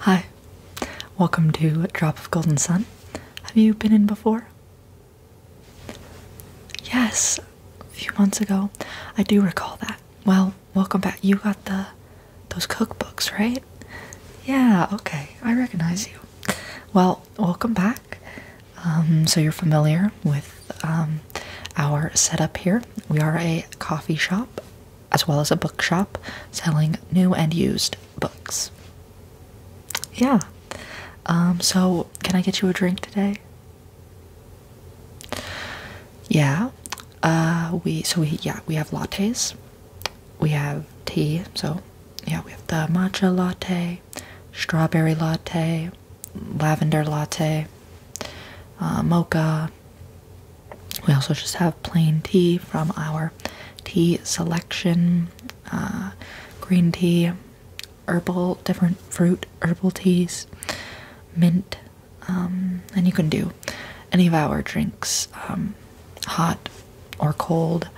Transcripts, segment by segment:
Hi, welcome to Drop of Golden Sun. Have you been in before? Yes, a few months ago. I do recall that. Well, welcome back. You got the those cookbooks, right? Yeah, okay. I recognize you. Well, welcome back. Um, so you're familiar with um, our setup here. We are a coffee shop as well as a bookshop selling new and used books. Yeah. Um, so, can I get you a drink today? Yeah. Uh, we so we yeah we have lattes, we have tea. So, yeah, we have the matcha latte, strawberry latte, lavender latte, uh, mocha, we also just have plain tea from our tea selection uh, green tea, herbal, different fruit herbal teas, mint, um, and you can do any of our drinks um, hot or cold.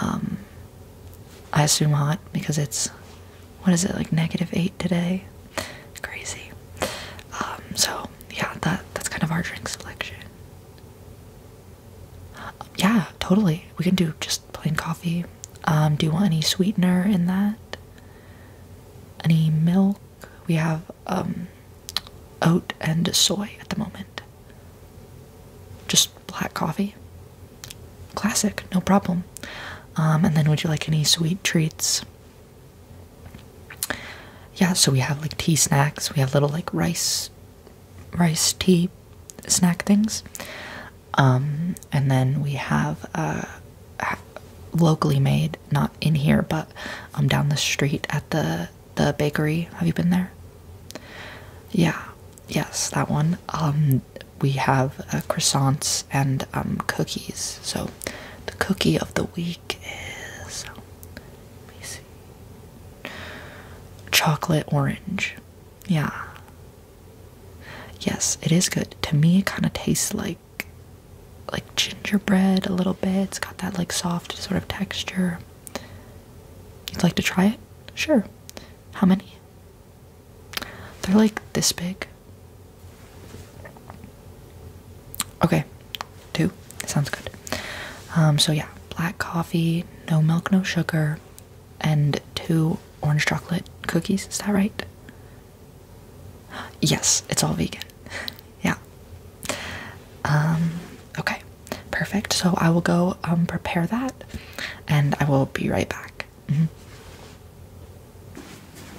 Um, I assume hot because it's what is it like negative eight today? crazy. Um, so yeah, that that's kind of our drink selection. Yeah, totally. We can do just plain coffee. Um, do you want any sweetener in that? Any milk? We have um, oat and soy at the moment. Just black coffee. Classic, no problem. and then would you like any sweet treats? yeah, so we have like tea snacks. We have little like rice, rice tea snack things. Um, and then we have uh, locally made, not in here, but um, down the street at the the bakery. Have you been there? Yeah, yes, that one. Um, we have uh, croissants and cookies. So the cookie of the week is Chocolate orange. Yeah. Yes, it is good. To me it kinda tastes like like gingerbread a little bit. It's got that like soft sort of texture. You'd like to try it? Sure. How many? They're like this big. Okay, two. Sounds good. Um, so, yeah, black coffee, no milk, no sugar, and two orange chocolate cookies. Is that right? Yes, it's all vegan. Yeah. Um, okay, perfect. So, I will go um, prepare that and I will be right back. Mm-hmm.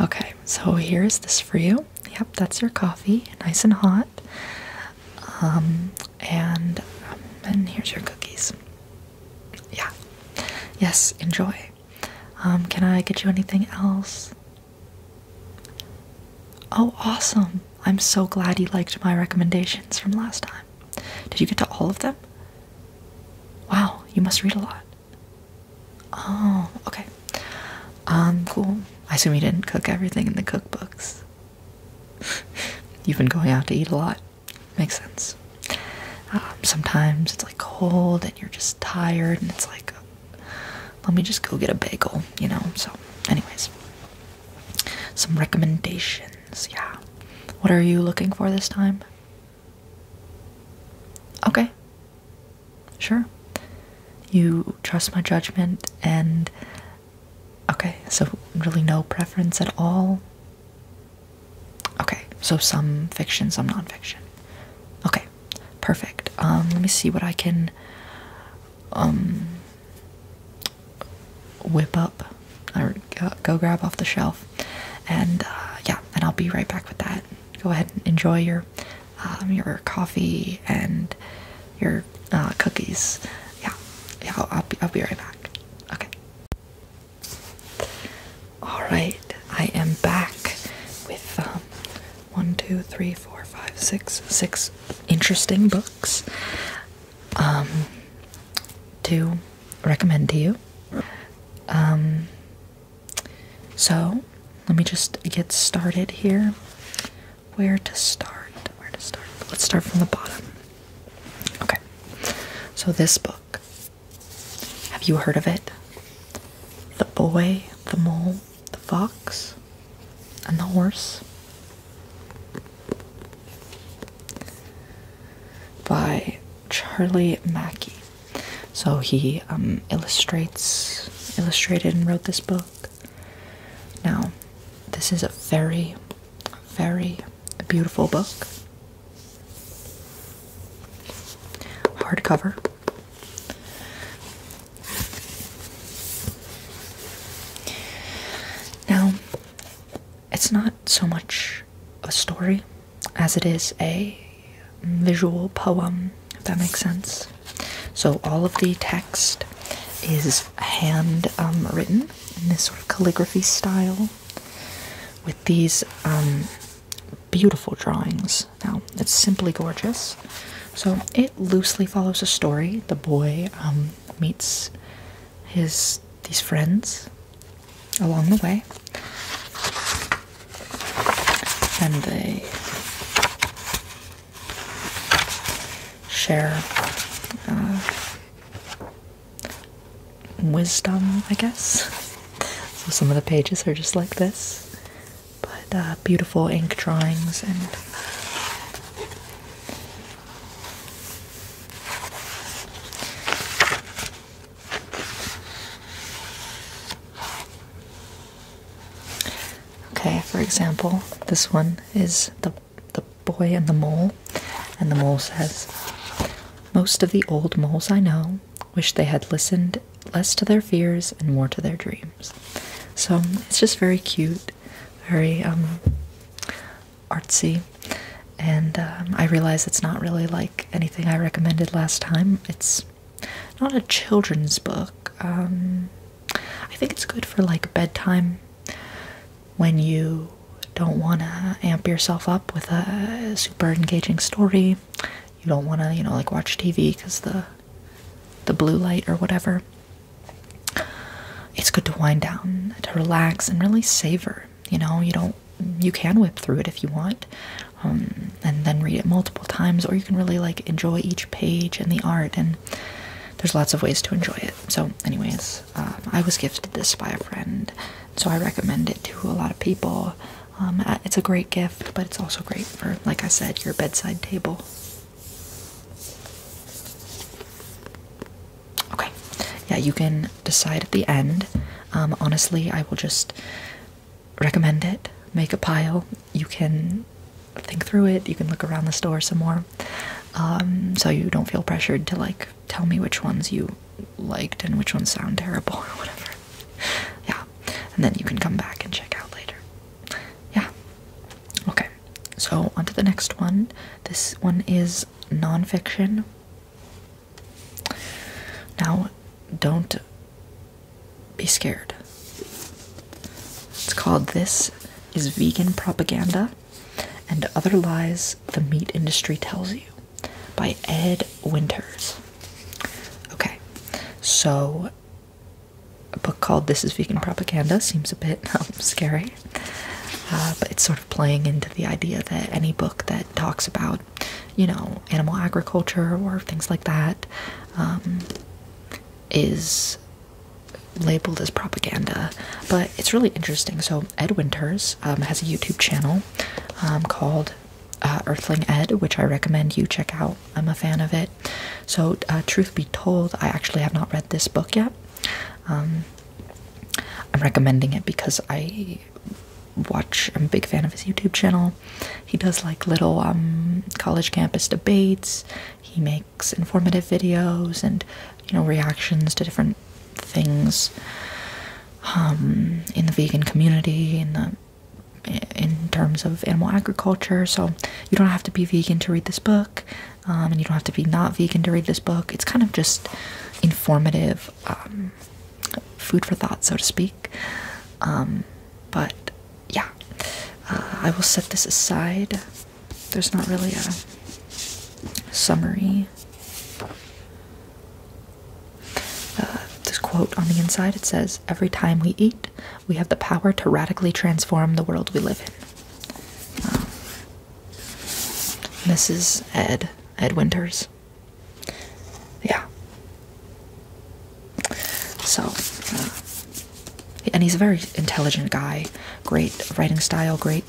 Okay, so here's this for you. Yep, that's your coffee, nice and hot. Um, and um, and here's your cookies. Yeah. Yes, enjoy. Um, can I get you anything else? Oh, awesome. I'm so glad you liked my recommendations from last time. Did you get to all of them? Wow, you must read a lot. Oh, okay. Um, cool. I assume you didn't cook everything in the cookbooks. You've been going out to eat a lot. Makes sense. Um, sometimes it's like cold and you're just tired, and it's like let me just go get a bagel, you know. So, anyways, some recommendations. Yeah, what are you looking for this time? Okay, sure. You trust my judgment, and okay, so really no preference at all. Okay, so some fiction, some nonfiction. Okay, perfect. Um, let me see what I can um, whip up or go grab off the shelf. And uh, yeah, and I'll be right back with that. Go ahead and enjoy your um, your coffee and your uh, cookies. Yeah, yeah, I'll, I'll, be, right back. Okay. All right, I am back with um, one, two, three, four, five, six, six interesting books um, to recommend to you. Um, so let me just get started here. Where to start? Where to start? Let's start from the bottom. Okay. So this book. Have you heard of it? The Boy, the Mole, the fox, and the horse by Charlie Mackey. So he um, illustrates, illustrated, and wrote this book. Now, this is a very, very beautiful book. Hardcover. Now, it's not so much a story as it is a visual poem, if that makes sense. So, all of the text is hand um, written in this sort of calligraphy style with these um, beautiful drawings now, it's simply gorgeous. So, it loosely follows a story. The boy um, meets his these friends along the way, and they share uh, wisdom, I guess. So, some of the pages are just like this but uh, beautiful ink drawings and Okay, for example, this one is the the boy and the mole, and the mole says, "Most of the old moles I know wish they had listened less to their fears and more to their dreams. So it's just very cute, very um, artsy, and um, I realize it's not really like anything I recommended last time. It's not a children's book. Um, I think it's good for like bedtime when you don't want to amp yourself up with a super engaging story. You don't want to, you know, like watch TV because the the blue light or whatever, it's good to wind down, to relax, and really savor. You know, you don't you can whip through it if you want, um, and then read it multiple times, or you can really like enjoy each page and the art. And there's lots of ways to enjoy it. So, anyways, um, I was gifted this by a friend, so I recommend it to a lot of people. Um, it's a great gift, but it's also great for, like I said, your bedside table. Okay. Yeah, you can decide at the end. Um, honestly, I will just recommend it. Make a pile. You can think through it. You can look around the store some more. Um, so you don't feel pressured to like tell me which ones you liked and which ones sound terrible or whatever. Yeah. And then you can come back and check out later. Yeah. Okay, so on to the next one. This one is nonfiction. Now, don't be scared. It's called This is Vegan Propaganda and Other Lies the Meat Industry Tells You by Ed Winters. Okay, so a book called This is Vegan Propaganda seems a bit um, scary, uh, but it's sort of playing into the idea that any book that talks about, you know, animal agriculture or things like that, um, is labeled as propaganda. But it's really interesting. So, Ed Winters um, has a YouTube channel called uh, Earthling Ed, which I recommend you check out. I'm a fan of it. So, uh, truth be told, I actually have not read this book yet. Um, I'm recommending it because I watch, I'm a big fan of his YouTube channel. He does like little um, college campus debates, he makes informative videos and, you know, reactions to different things um, in the vegan community, in the in terms of animal agriculture. So you don't have to be vegan to read this book, um, and you don't have to be not vegan to read this book. It's kind of just informative um, food for thought, so to speak. Um, but yeah, uh, I will set this aside. There's not really a summary. Uh, this quote on the inside it says, Every time we eat, we have the power to radically transform the world we live in. Mrs. Um, Ed, Ed Winters. Yeah. So, uh, and he's a very intelligent guy, great writing style, great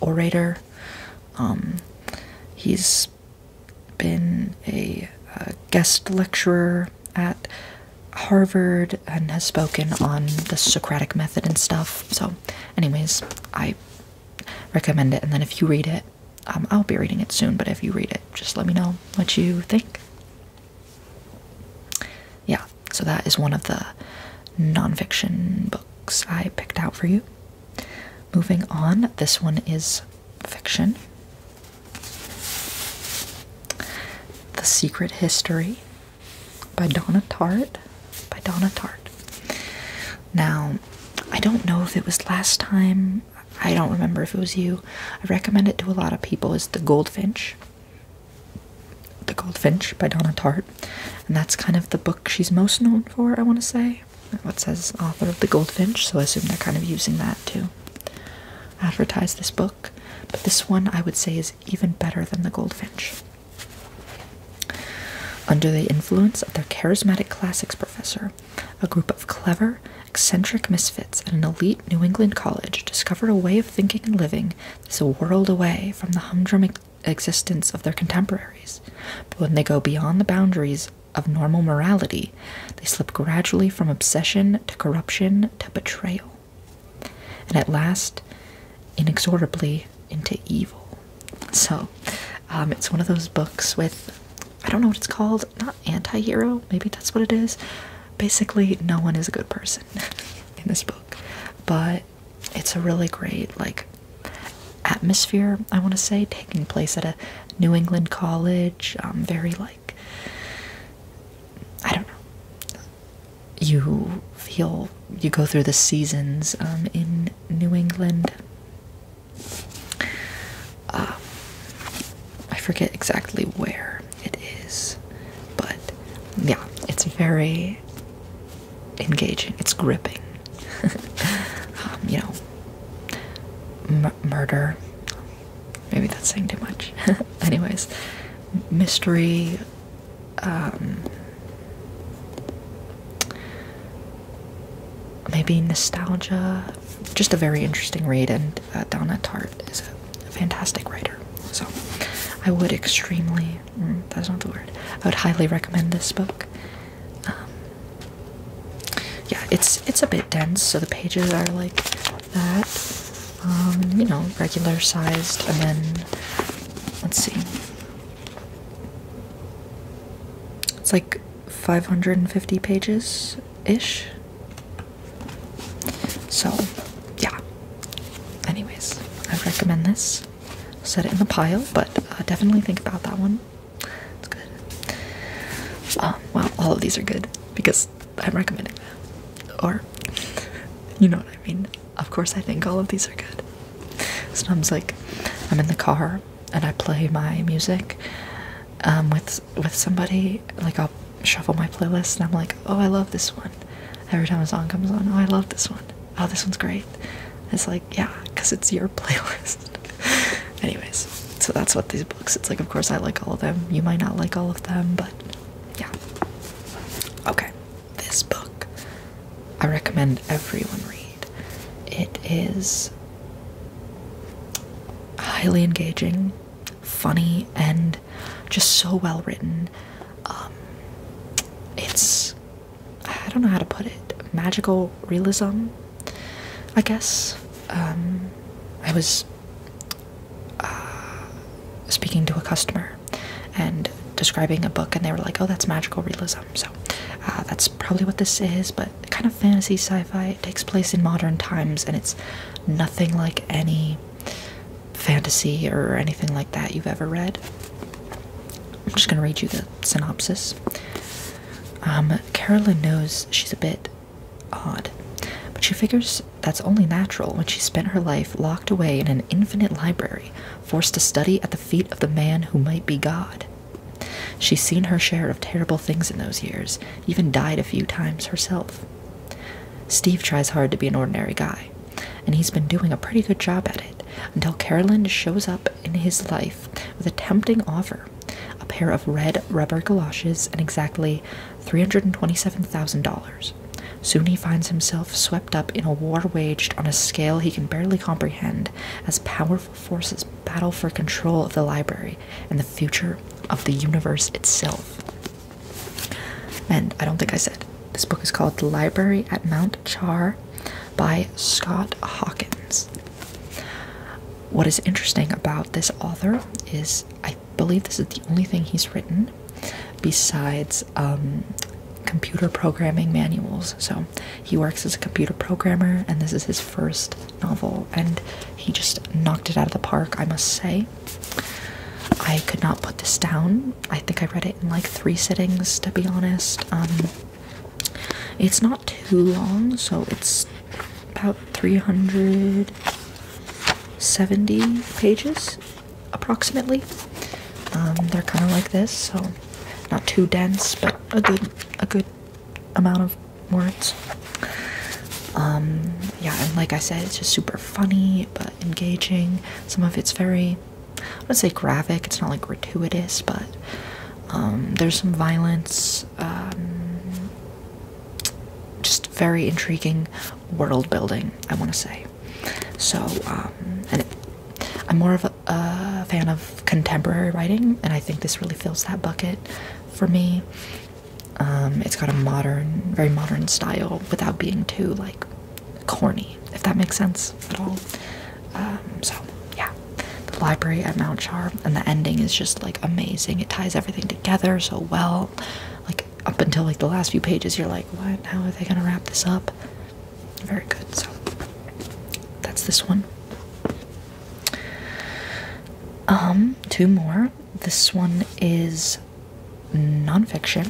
orator. Um, he's been a guest lecturer at Harvard and has spoken on the Socratic method and stuff. So, anyways, I recommend it. And then if you read it, um, I'll be reading it soon, but if you read it, just let me know what you think. Yeah, so that is one of the nonfiction books I picked out for you. Moving on, this one is fiction. The Secret History by Donna Tartt. By Donna Tartt. Now, I don't know if it was last time. I don't remember if it was you. I recommend it to a lot of people. Is The Goldfinch. The Goldfinch by Donna Tartt. And that's kind of the book she's most known for, I want to say. What says author of The Goldfinch, so I assume they're kind of using that too advertise this book, but this one I would say is even better than The Goldfinch. Under the influence of their charismatic classics professor, a group of clever, eccentric misfits at an elite New England college discovered a way of thinking and living that's a world away from the humdrum existence of their contemporaries. But when they go beyond the boundaries of normal morality, they slip gradually from obsession to corruption to betrayal, and at last, inexorably, into evil. So, um, it's one of those books with I don't know what it's called, not anti hero, maybe that's what it is. Basically, no one is a good person in this book, but it's a really great, like, atmosphere, I want to say, taking place at a New England college, um, very like I don't know. You feel you go through the seasons um, in New England. Um, I forget exactly where it is, but yeah, it's very engaging. It's gripping. Um, you know, murder, Maybe that's saying too much. Anyways, mystery. Um, maybe nostalgia. Just a very interesting read, and uh, Donna Tartt is a fantastic writer. So, I would extremely. Mm, that's not the word. I would highly recommend this book. Um, yeah, it's it's a bit dense, so the pages are like that. Um, you know, regular sized, and then let's see. It's like 550 pages ish. So, yeah. Anyways, I recommend this. Set it in the pile, but uh, definitely think about that one. It's good. Um, all of these are good because I'm recommending that. Or, you know what I mean? Of course, I think all of these are good. Sometimes, like, I'm in the car and I play my music um, with with somebody. Like, I'll shuffle my playlist and I'm like, oh, I love this one. Every time a song comes on, oh, I love this one. Oh, this one's great. It's like, yeah, because it's your playlist. Anyways, so that's what these books. It's like, of course, I like all of them. You might not like all of them, but yeah. Okay, this book I recommend everyone read. It is highly engaging, funny, and just so well written. Um, it's, I don't know how to put it, magical realism, I guess. Um, I was uh, speaking to a customer and describing a book, and they were like, "Oh, that's magical realism." So uh, that's probably what this is, but kind of fantasy sci-fi. It takes place in modern times, and it's nothing like any fantasy or anything like that you've ever read. I'm just going to read you the synopsis. Um, Carolyn knows she's a bit Odd. But she figures that's only natural when she spent her life locked away in an infinite library, forced to study at the feet of the man who might be God. She's seen her share of terrible things in those years, even died a few times herself. Steve tries hard to be an ordinary guy, and he's been doing a pretty good job at it until Carolyn shows up in his life with a tempting offer a pair of red rubber galoshes and exactly $327,000. Soon he finds himself swept up in a war waged on a scale he can barely comprehend as powerful forces battle for control of the library and the future of the universe itself. And I don't think I said this book is called The Library at Mount Char by Scott Hawkins. What is interesting about this author is I I believe this is the only thing he's written besides um, computer programming manuals. So he works as a computer programmer, and this is his first novel, and he just knocked it out of the park, I must say. I could not put this down. I think I read it in like three sittings, to be honest. Um, it's not too long, so it's about 300 70 pages approximately. Um, they're kind of like this, so not too dense, but a good a good amount of words. Um, yeah, and like I said, it's just super funny but engaging. Some of it's very, I would say graphic. It's not like gratuitous, but um, there's some violence just very intriguing world building, I want to say. So, um, and I'm more of a, fan of contemporary writing, and I think this really fills that bucket for me. Um, it's got a modern, very modern style without being too like corny, if that makes sense at all. Um, so, yeah, the library at Mount Char, and the ending is just like amazing. It ties everything together so well like up until like the last few pages you're like what how are they gonna wrap this up very good so that's this one um two more this one is nonfiction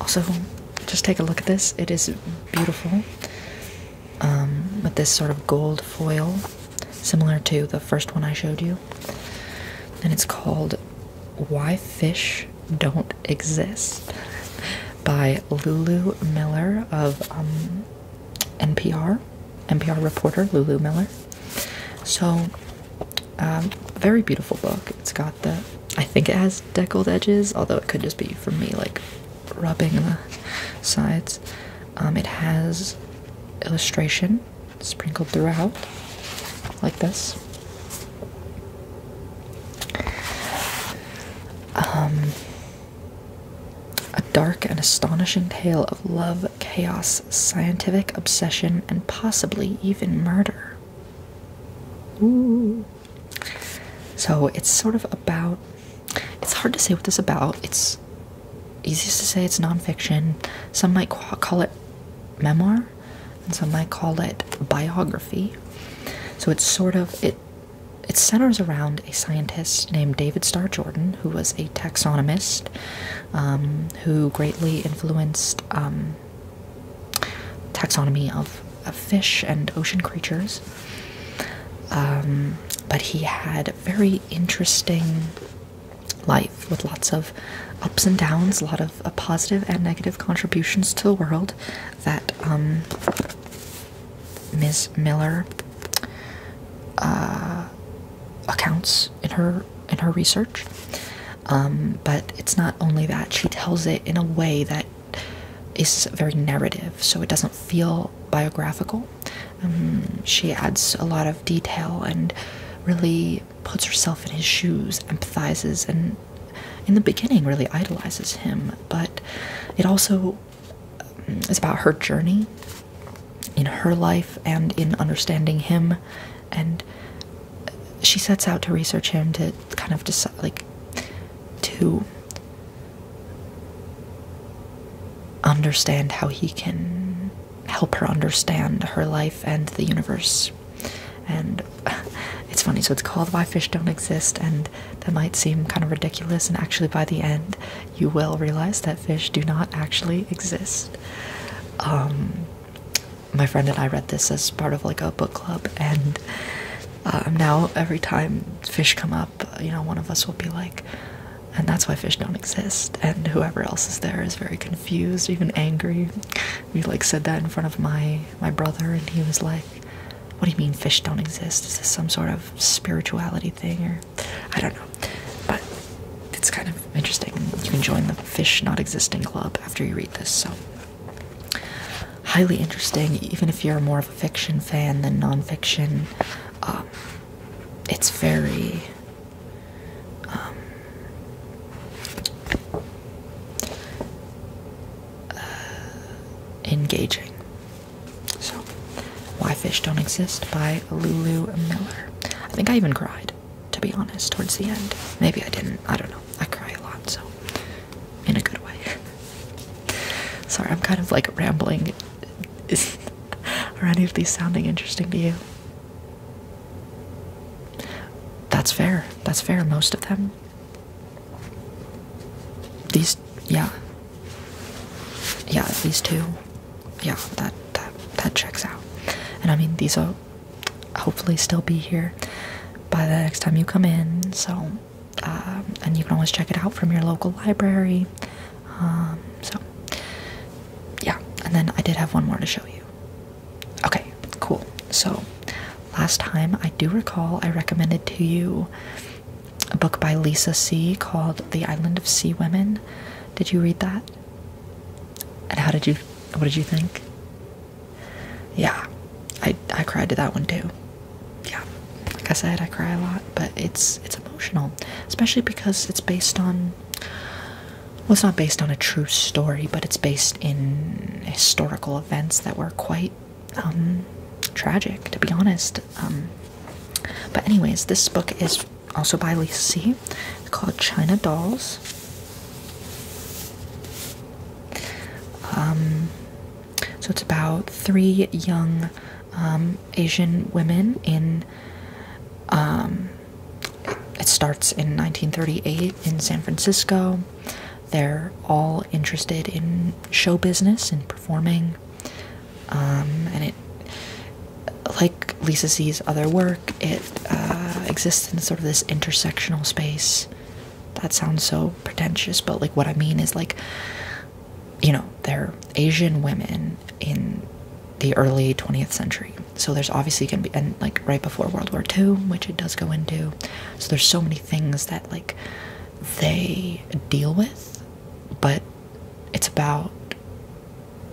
also just take a look at this it is beautiful um, with this sort of gold foil similar to the first one I showed you. And it's called Why Fish Don't Exist by Lulu Miller of um, NPR, NPR reporter Lulu Miller. So, um, very beautiful book. It's got the, I think it has deckled edges, although it could just be for me like rubbing the sides. Um, it has illustration sprinkled throughout, like this. Um, a dark and astonishing tale of love, chaos, scientific obsession, and possibly even murder. Ooh. So it's sort of about. It's hard to say what this about. It's it's easiest to say it's nonfiction. Some might call it memoir, and some might call it biography. So it's sort of it. It centers around a scientist named David Starr Jordan, who was a taxonomist, um, who greatly influenced um, taxonomy of, fish and ocean creatures. Um, but he had very interesting life with lots of ups and downs, a lot of uh, and negative contributions to the world that um, Ms. Miller uh, accounts in her in her research. Um, but it's not only that she tells it in a way that is very narrative, so it doesn't feel biographical. Um, she adds a lot of detail and really puts herself in his shoes, empathizes, and in the beginning really idolizes him. But it also um, is about her journey in her life and in understanding him. And she sets out to research him to kind of decide, like, to understand how he can help her understand her life and the universe. And it's funny, so it's called Why Fish Don't Exist, and that might seem kind of ridiculous, and actually, by the end, you will realize that fish do not actually exist. Um, my friend and I read this as part of like a book club, and uh, now every time fish come up, you know, one of us will be like, and that's why fish don't exist and whoever else is there is very confused even angry we like said that in front of my my brother and he was like what do you mean fish don't exist is this some sort of spirituality thing or i don't know but it's kind of interesting you can join the fish not existing club after you read this so highly interesting even if you're more of a fiction fan than nonfiction um, it's very um, uh, engaging. So, Why Fish Don't Exist by Lulu Miller. I think I even cried, to be honest, towards the end. Maybe I didn't. I don't know. I cry a lot, so in a good way. Sorry, I'm kind of like rambling is, are any of these sounding interesting to you? That's fair. That's fair. Most of them. These, yeah. Yeah, these two. Yeah, that that that checks out. And I mean, these will hopefully still be here by the next time you come in. So, um, and you can always check it out from your local library. Um, so, yeah, and then I did have one more to show you. Okay, cool. So, last time I do recall I recommended to you a book by Lisa C. called The Island of Sea Women. Did you read that? And how did you, what did you think? Yeah, I, I cried to that one too. Yeah, like I said, I cry a lot but it's it's emotional, especially because it's based on well, it's not based on a true story, but it's based in historical events that were quite um, tragic, to be honest. Um, but anyways, this book is also by Lee C. It's called China Dolls. Um, so it's about three young um, Asian women in. Um, it starts in 1938 in San Francisco. They're all interested in show business and performing, um, and it, like Lisa sees other work, it uh, exists in sort of this intersectional space. That sounds so pretentious, but like what I mean is like you know, they're Asian women in the early 20th century. So there's obviously going to be, and like right before World War II, which it does go into. So there's so many things that like they deal with, but it's about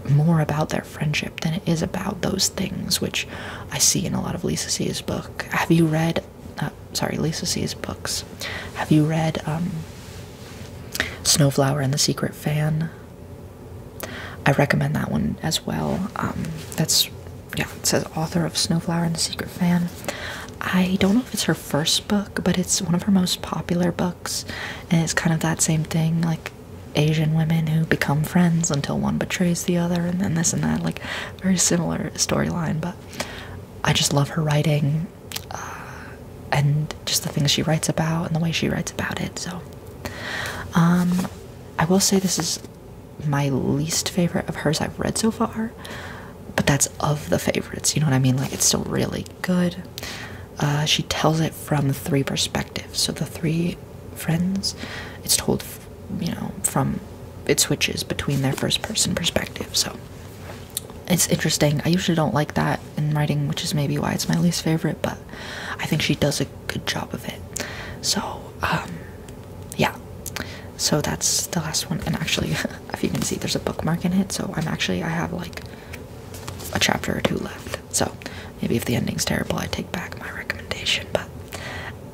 more about their friendship than it is about those things, which I see in a lot of Lisa C's book. Have you read, uh, sorry, Lisa C's books? Have you read, um, Snowflower and the Secret Fan. I recommend that one as well. Um, that's yeah, it says author of Snowflower and the Secret Fan. I don't know if it's her first book, but it's one of her most popular books, and it's kind of that same thing, like Asian women who become friends until one betrays the other, and then this and that, like very similar storyline. But I just love her writing. Uh, and just the things she writes about and the way she writes about it. So, um, I will say this is my least favorite of hers I've read so far, but that's of the favorites. You know what I mean? Like it's still really good. Uh, she tells it from three perspectives. So the three friends, it's told, you know, from it switches between their first person perspective. So it's interesting. I usually don't like that in writing, which is maybe why it's my least favorite, but I think she does a good job of it. So, um, yeah. So that's the last one. And actually, if you can see, there's a bookmark in it. So I'm actually, I have like a chapter or two left. So maybe if the ending's terrible, I take back my recommendation, but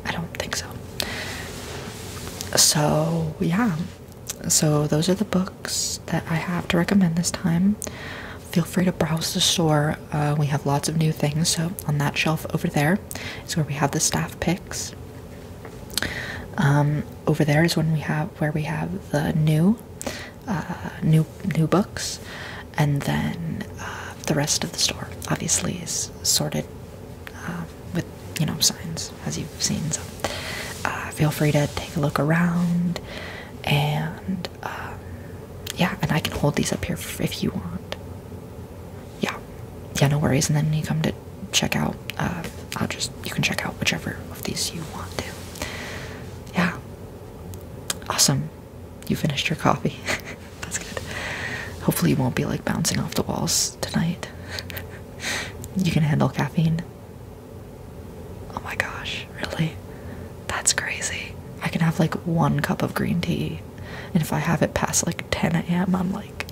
I don't think so. So, yeah so those are the books that I have to recommend this time. Feel free to browse the store. Uh, we have lots of new things. So on that shelf over there is where we have the staff picks. Um, over there is when we have where we have the new, uh, new new books, and then uh, the rest of the store obviously is sorted um, with you know signs as you've seen. So feel free to take a look around and um, yeah, and I can hold these up here if you want. Yeah, yeah, no worries. And then you come to check out. Uh, I'll just you can check out whichever of these you want to. Yeah, awesome. You finished your coffee. That's good. Hopefully, you won't be like bouncing off the walls tonight. you can handle caffeine. Oh my gosh, really? That's crazy. I can have like one cup of green tea, and if I have it past like 10 a.m., I'm like,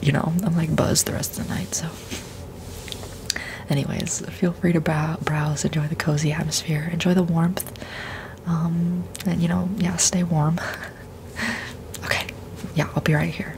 you know, I'm like buzzed the rest of the night. So, anyways, feel free to browse, enjoy the cozy atmosphere, enjoy the warmth, um, and you know, yeah, stay warm. okay, yeah, I'll be right here.